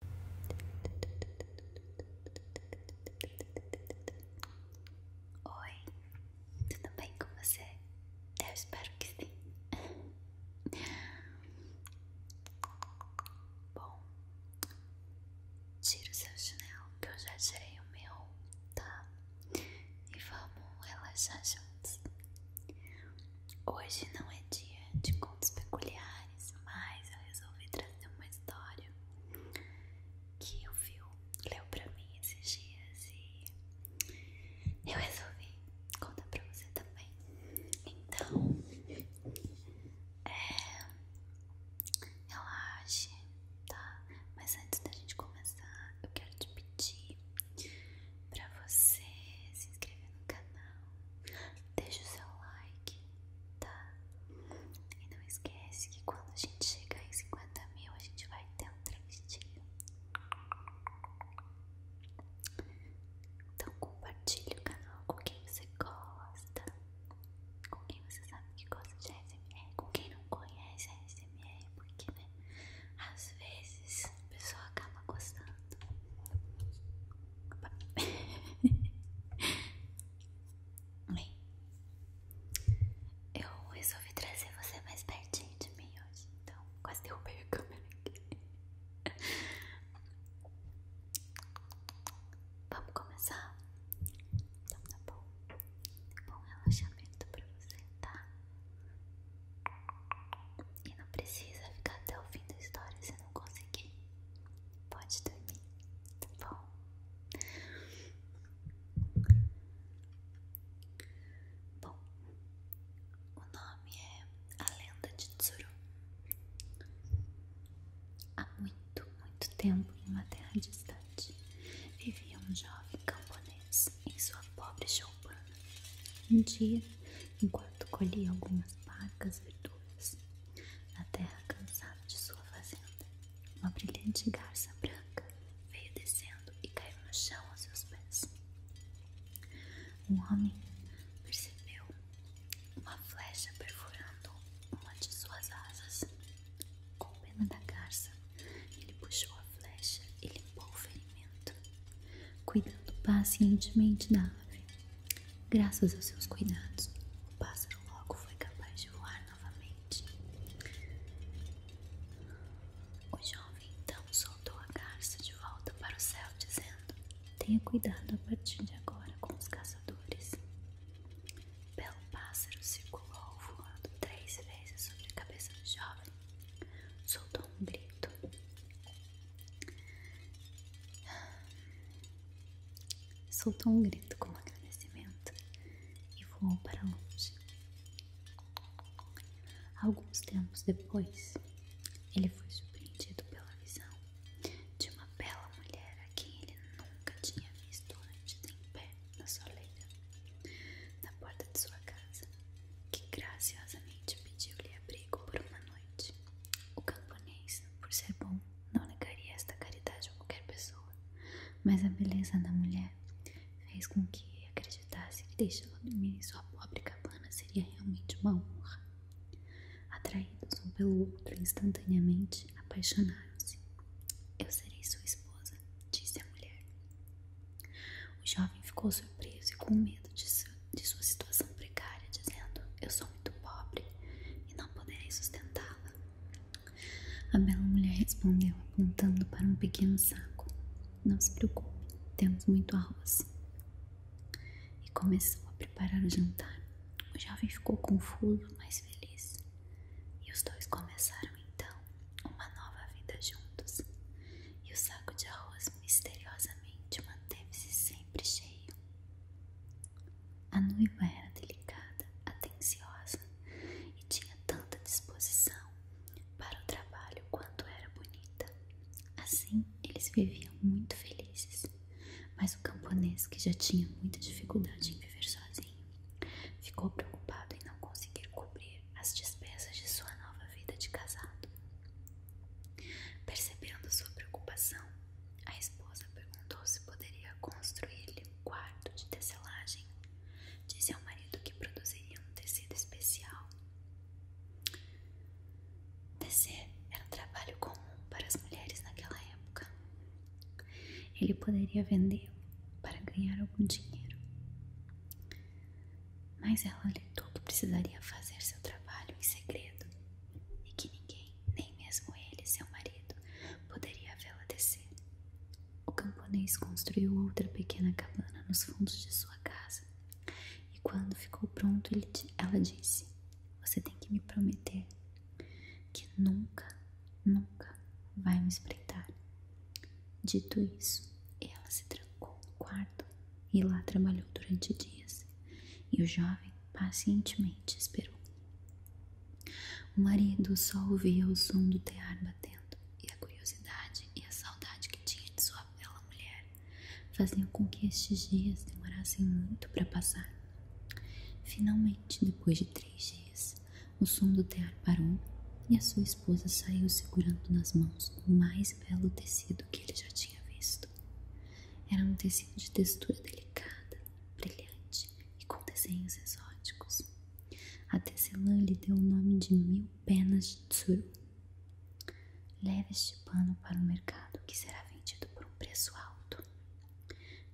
Oi, tudo bem com você? Eu espero que sim. Bom, tira o seu chinelo que eu já tirei o meu, tá? E vamos relaxar juntos. Hoje não é dia de contos peculiares mas eu resolvi trazer uma história que o Phil leu pra mim esses dias e eu resolvi contar pra você também. Então, é, relaxe, tá? Mas antes da gente começar, eu quero te pedir pra você se inscrever no canal deixe o seu like, tá? E não esquece que quando a gente chegar em 50 mil, a gente vai ter um travestinho. Então compartilhe o canal com quem você gosta, com quem você sabe que gosta de ASMR, com quem não conhece ASMR, porque né, às vezes a pessoa acaba gostando eu resolvi trazer você mais pertinho de mim hoje, então quase derrubei a câmera aqui. Vamos começar? Então tá bom. Bom relaxamento pra você, tá? E não precisa ficar até o fim da história se consegui. pode dormir, tá bom? Bom, o nome é A Lenda de Tsuru. Há muito, muito tempo, em uma terra distante, vivia um jovem camponês em sua pobre choupana. Um dia, enquanto colhia algumas parcas verduras. Na terra cansada de sua fazenda, uma brilhante garça branca veio descendo e caiu no chão aos seus pés. Um homem percebeu uma flecha perfurando uma de suas asas. Com pena da garça, ele puxou a flecha e limpou o ferimento cuidando pacientemente da ave. Graças aos seus cuidados, o pássaro logo foi capaz de voar novamente. O jovem então soltou a garça de volta para o céu, dizendo: Tenha cuidado a partir de agora com os caçadores. Belo pássaro circulou voando três vezes sobre a cabeça do jovem. Soltou um grito. Soltou um grito como agradecimento e voou para longe. Alguns tempos depois, ele foi surpreendido pela visão de uma bela mulher a quem ele nunca tinha visto antes em pé na soleira, na porta de sua casa que graciosamente pediu-lhe abrigo por uma noite. O camponês, por ser bom, não negaria esta caridade a qualquer pessoa, mas a beleza da mulher fez com que acreditasse que deixá-la dormir em sua pobre cabana seria realmente uma honra. Atraídos um pelo outro instantaneamente, apaixonaram-se. Eu serei sua esposa, disse a mulher. O jovem ficou surpreso e com medo de, sua situação precária, dizendo: Eu sou muito pobre e não poderei sustentá-la. A bela mulher respondeu, apontando para um pequeno saco: Não se preocupe, temos muito arroz. E começou a preparar o jantar. O jovem ficou confuso, mas feliz. E os dois começaram então uma nova vida juntos. E o saco de arroz misteriosamente manteve-se sempre cheio. A noiva era delicada, atenciosa e tinha tanta disposição para o trabalho quanto era bonita. Assim, eles viviam muito felizes, mas o camponês, que já tinha muita dificuldade em viver sozinho, ficou preocupado em não conseguir cobrir as despesas de sua nova vida de casado. Percebendo sua preocupação, a esposa perguntou se poderia construir-lhe um quarto de tecelagem. Disse ao marido que produziria um tecido especial. Tecer era um trabalho comum para as mulheres naquela época. Ele poderia vendê-lo para ganhar algum dinheiro mas ela alertou que precisaria fazer seu trabalho em segredo e que ninguém, nem mesmo ele, seu marido, poderia vê-la descer. O camponês construiu outra pequena cabana nos fundos de sua casa e, quando ficou pronto, ele, ela disse: Você tem que me prometer que nunca, nunca vai me espreitar Dito isso, ela se trancou no quarto e lá trabalhou durante dias, e o jovem pacientemente esperou. O marido só ouvia o som do tear batendo, e a curiosidade e a saudade que tinha de sua bela mulher faziam com que estes dias demorassem muito para passar. Finalmente, depois de três dias, o som do tear parou e a sua esposa a esposa saiu segurando nas mãos o mais belo tecido que ele já tinha visto. Era um tecido de textura delicada, brilhante e com desenhos exóticos. A tecelã lhe deu o nome de Mil Penas de Tsuru. Leve este pano para o mercado que será vendido por um preço alto,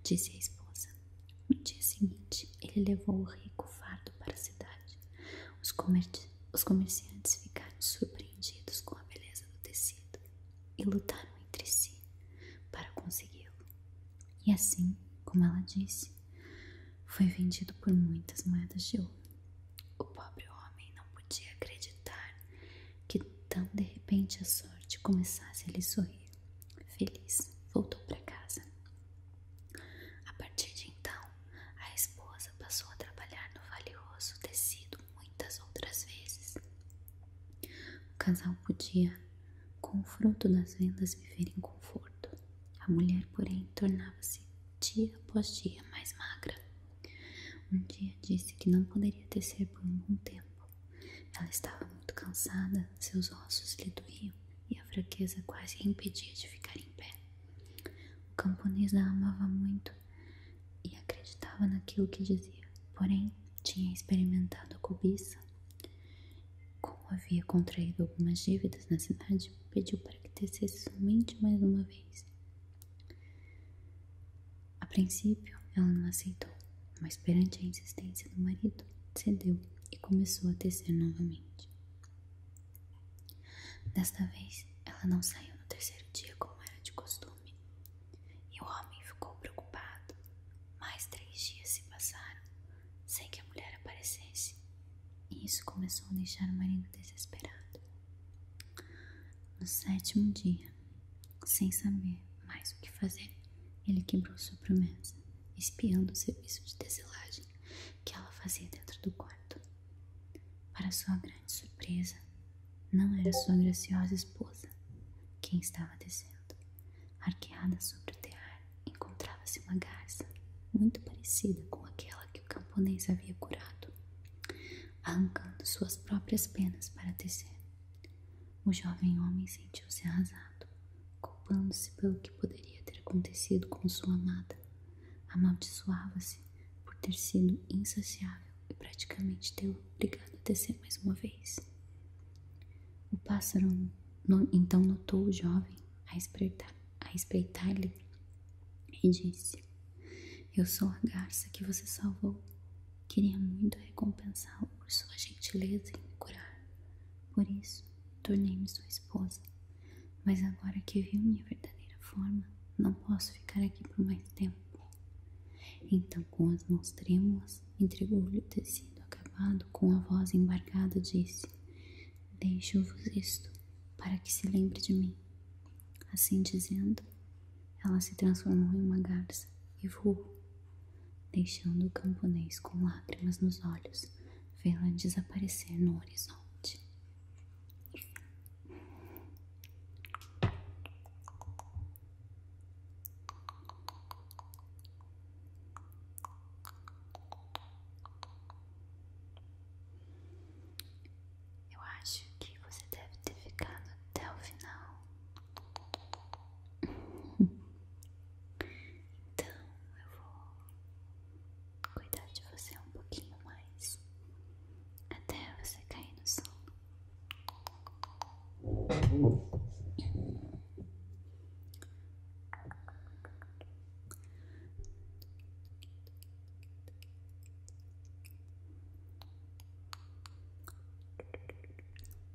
disse a esposa. No dia seguinte, ele levou o rico fardo para a cidade os, comerciantes ficaram surpreendidos com a beleza do tecido e lutaram entre si para consegui-lo. E assim, como ela disse, foi vendido por muitas moedas de ouro. O pobre homem não podia acreditar que tão de repente a sorte começasse a lhe sorrir. Feliz, voltou para casa a partir de então, a esposa passou a trabalhar no valioso tecido muitas outras vezes. O casal podia, com o fruto das vendas, viver em conforto. A mulher, porém, tornava-se dia após dia mais magra. Um dia disse que não poderia tecer por um bom tempo. Ela estava muito cansada, seus ossos lhe doíam e a fraqueza quase a impedia de ficar em pé. O camponês a amava muito e acreditava naquilo que dizia, porém tinha experimentado a cobiça. Como havia contraído algumas dívidas na cidade, pediu para que tecesse somente mais uma vez. A princípio, ela não aceitou, mas perante a insistência do marido, cedeu e começou a tecer novamente. Desta vez, ela não saiu no terceiro dia como era de costume, e o homem ficou preocupado. Mais três dias se passaram sem que a mulher aparecesse, e isso começou a deixar o marido desesperado. No sétimo dia, sem saber mais o que fazer, ele quebrou sua promessa, espiando o serviço de tecelagem que ela fazia dentro do quarto. Para sua grande surpresa, não era sua graciosa esposa quem estava descendo. Arqueada sobre o tear, encontrava-se uma garça muito parecida com aquela que o camponês havia curado, arrancando suas próprias penas para tecer. O jovem homem se sentiu-se arrasado, culpando-se pelo que poderia ter acontecido com sua amada. Amaldiçoava-se por ter sido insaciável e praticamente teu, obrigado a descer mais uma vez. O pássaro então notou o jovem a espreitar-lhe a espreitar e disse: Eu sou a garça que você salvou. Queria muito recompensá-lo por sua gentileza em me curar. Por isso, tornei-me sua esposa, mas agora que viu minha verdadeira forma, não posso ficar aqui por mais tempo. Então, com as mãos trêmulas, entregou-lhe o tecido acabado com a voz embargada, disse: Deixo-vos isto, para que se lembre de mim. Assim dizendo, ela se transformou em uma garça e voou deixando o camponês com lágrimas nos olhos vê-la desaparecer no horizonte. Eu acho que você deve ter ficado até o final. Então eu vou cuidar de você um pouquinho mais até você cair no sono.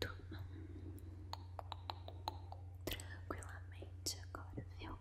Toma tranquilamente agora, viu?